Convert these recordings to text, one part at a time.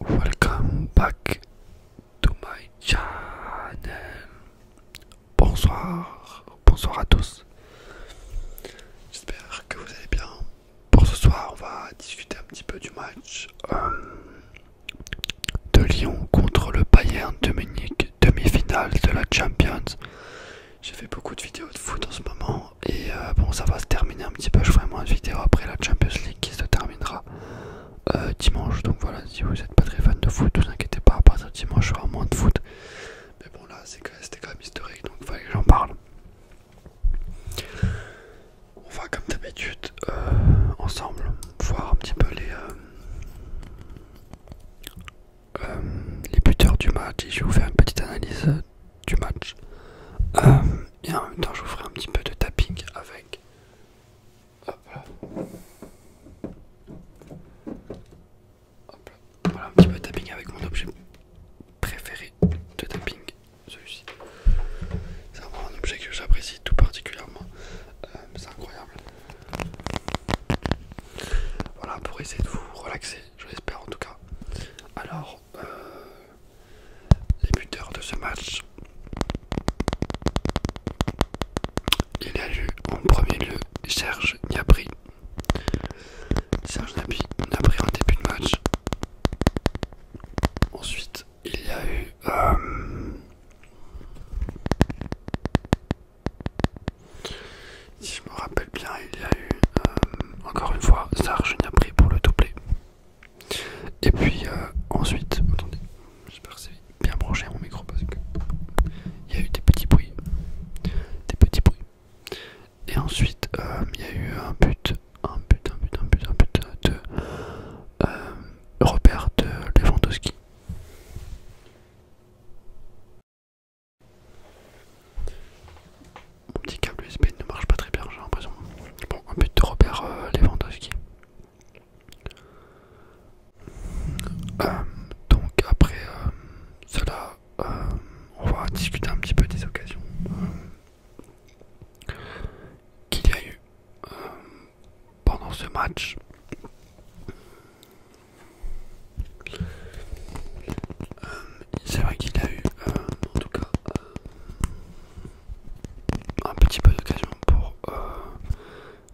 Welcome back to my channel. Bonsoir, bonsoir à tous. J'espère que vous allez bien. Pour ce soir, on va discuter un petit peu du match euh, de Lyon contre le Bayern de Munich, demi-finale de la Champions. J'ai fait beaucoup de vidéos de foot en ce moment et euh, bon ça va se terminer un petit peu je ferai moins de vidéos après la Champions League qui se terminera euh, dimanche donc voilà si vous n'êtes pas très fan de foot ne vous inquiétez pas à dimanche il y moins de foot mais bon là c'était quand même historique donc il fallait que j'en parle on va comme d'habitude euh, ensemble voir un petit peu les les buteurs du match et je vais vous faire une petite analyse du match. Euh, et en même temps, je vous ferai un petit peu de tapping avec. Voilà un petit peu de tapping avec mon objet préféré de tapping, celui-ci. C'est vraiment un objet que j'apprécie tout particulièrement. Euh, c'est incroyable. Voilà pour essayer de vous relaxer, je l'espère en tout cas. Alors, euh, les buteurs de ce match. Il y a eu en premier lieu Serge Gnabry. Serge pris en début de match. Ensuite, il y a eu euh, me rappelle bien, il y a eu euh, encore une fois Sargenia pris pour le doublé. Et puis euh, ensuite, attendez, j'espère que c'est bien branché mon micro parce que il y a eu des petits bruits, des petits bruits. Et ensuite, euh, il y a eu un but, un but, un but, un but, un but de Robert de Lewandowski mon petit câble USB ne marche pas très bien, j'ai l'impression. Bon, un but de Robert euh, Lewandowski. Euh, donc après euh, cela, on va discuter un petit peu des occasions qu'il y a eu pendant ce match c'est vrai qu'il a eu, euh, en tout cas, euh, un petit peu d'occasion pour euh,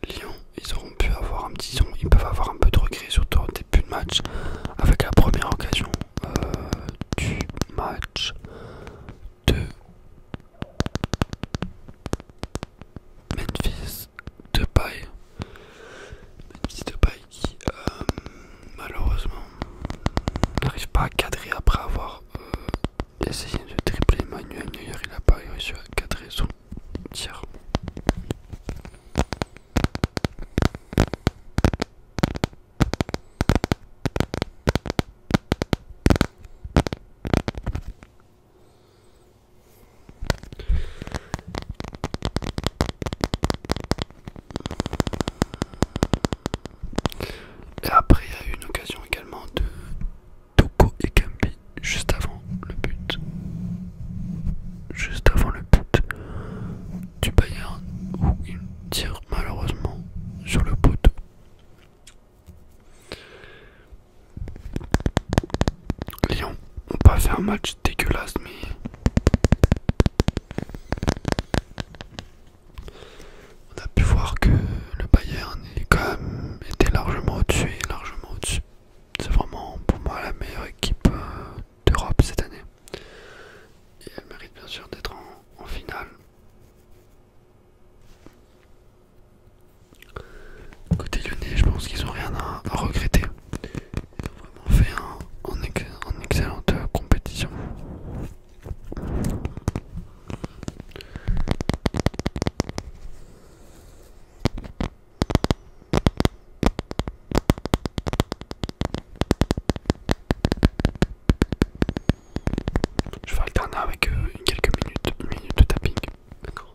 Lyon. Ils auront pu avoir un petit ils peuvent avoir un peu de regret, surtout au début de match, avec la première occasion du match de Memphis de euh, malheureusement n'arrive pas à cadrer après avoir euh, essayé de tripler Manuel il n'a pas réussi à cadrer son tir. Et après, il y a eu une occasion également de Toko et Kambi juste avant le but. Juste avant le but du Bayern où il tire malheureusement sur le poteau. Lyon on pas fait un match dégueulasse mais on a pu voir que le Bayern était largement au-dessus largement dessus C'est vraiment pour moi la meilleure équipe euh, d'Europe cette année. Et elle mérite bien sûr d'être en, finale. Côté Lyon, je pense qu'ils n'ont rien à regretter. On vraiment fait excellente euh, compétition. Je vais alterner avec euh, quelques minutes, minutes de tapping. D'accord.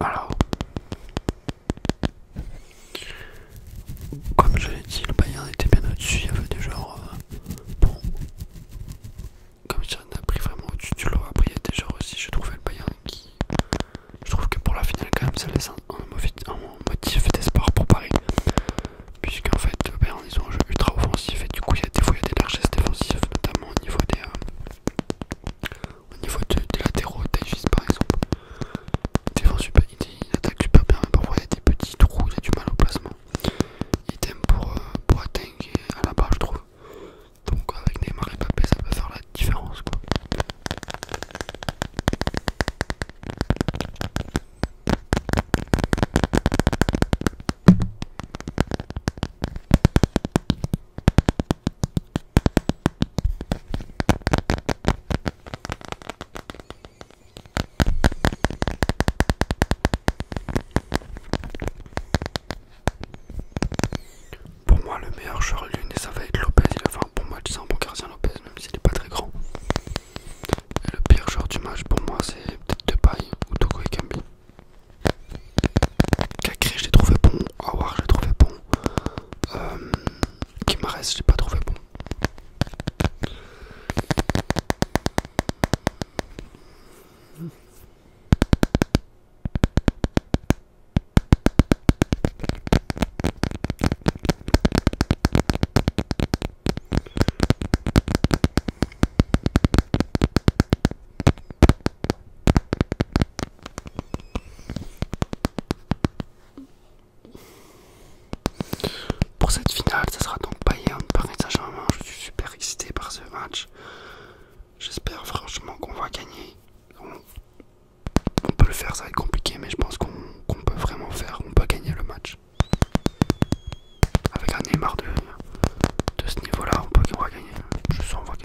Alors, comme je l'ai dit, le Bayern était bien au-dessus. Il y avait déjà euh, bon, comme ça on a pris vraiment au-dessus tu lot. Après, il y a des genres aussi, je trouvais le Bayern qui je trouve que pour la finale, quand même, ça laisse un, motif d'espoir pour Paris. Puisqu'en fait, on ils ont un jeu ultra offensif et du coup, il y a des fois, il des largesses défensives, notamment au niveau des, euh, au niveau des latéraux, Tajis par exemple. Il, super, attaque super bien, mais parfois, il y a des petits trous, il y a du mal au placement. Idem pour, euh, pour Ateng à la barre, je trouve. Donc avec des et Mbappé ça peut faire la différence quoi. Pour moi, le meilleur joueur lune ça va être Lopez. Il a fait un bon match, c'est un bon gardien Lopez, même s'il n'est pas très grand. Et le pire joueur du match, pour moi, c'est peut-être Depay ou Toko et Kambi. Kakri, je l'ai trouvé bon. Awar, je l'ai trouvé bon. Kimares, euh, je l'ai pas trouvé bon. Pour cette finale, ce sera donc Bayern par Saint-Germain. Je suis super excité par ce match. J'espère franchement qu'on va gagner. On, peut le faire, ça va être compliqué, mais je pense qu'on peut vraiment faire, on peut gagner le match. Avec un Neymar de, ce niveau-là, on peut gagner. Je sens qu'on va gagner.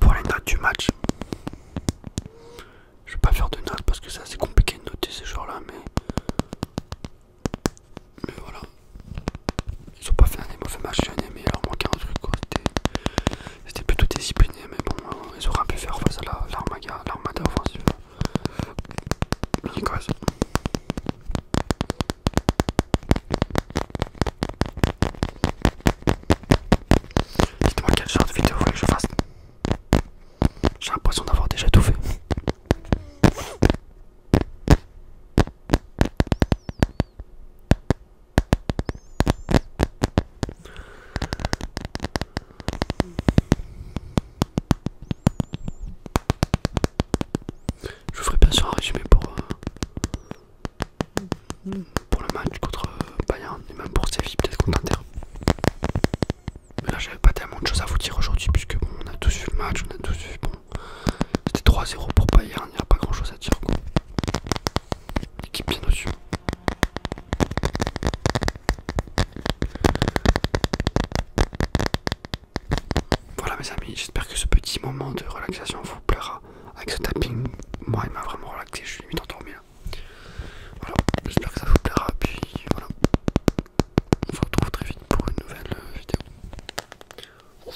Pour les notes du match, je vais pas faire de notes parce que c'est assez compliqué de noter ces joueurs-là, mais... voilà. Ils ont pas fait un des mauvais matchs, mais il leur manquait un truc c'était plutôt discipliné, mais bon, euh, ils auraient pu faire face à l'armada la, offensive. L'Écosse. Dites-moi quel genre de vidéo vous voulez que je fasse. J'ai l'impression d'avoir déjà tout fait. Je vous ferai bien sûr un résumé pour, euh, pour le match contre euh, Bayern et même pour Séville, peut-être contre Inter. Mais là, j'avais pas tellement de choses à vous dire aujourd'hui, puisque on a tous vu le match, on a tous vu. Bon, c'était 3-0 pour Bayern, il n'y a pas grand chose à dire. Quoi qui bien Voilà mes amis, j'espère que ce petit moment de relaxation vous plaira. Avec ce tapping, moi il m'a vraiment relaxé, je suis limite endormi là. Voilà, j'espère que ça vous plaira, puis voilà. On se retrouve très vite pour une nouvelle euh, vidéo.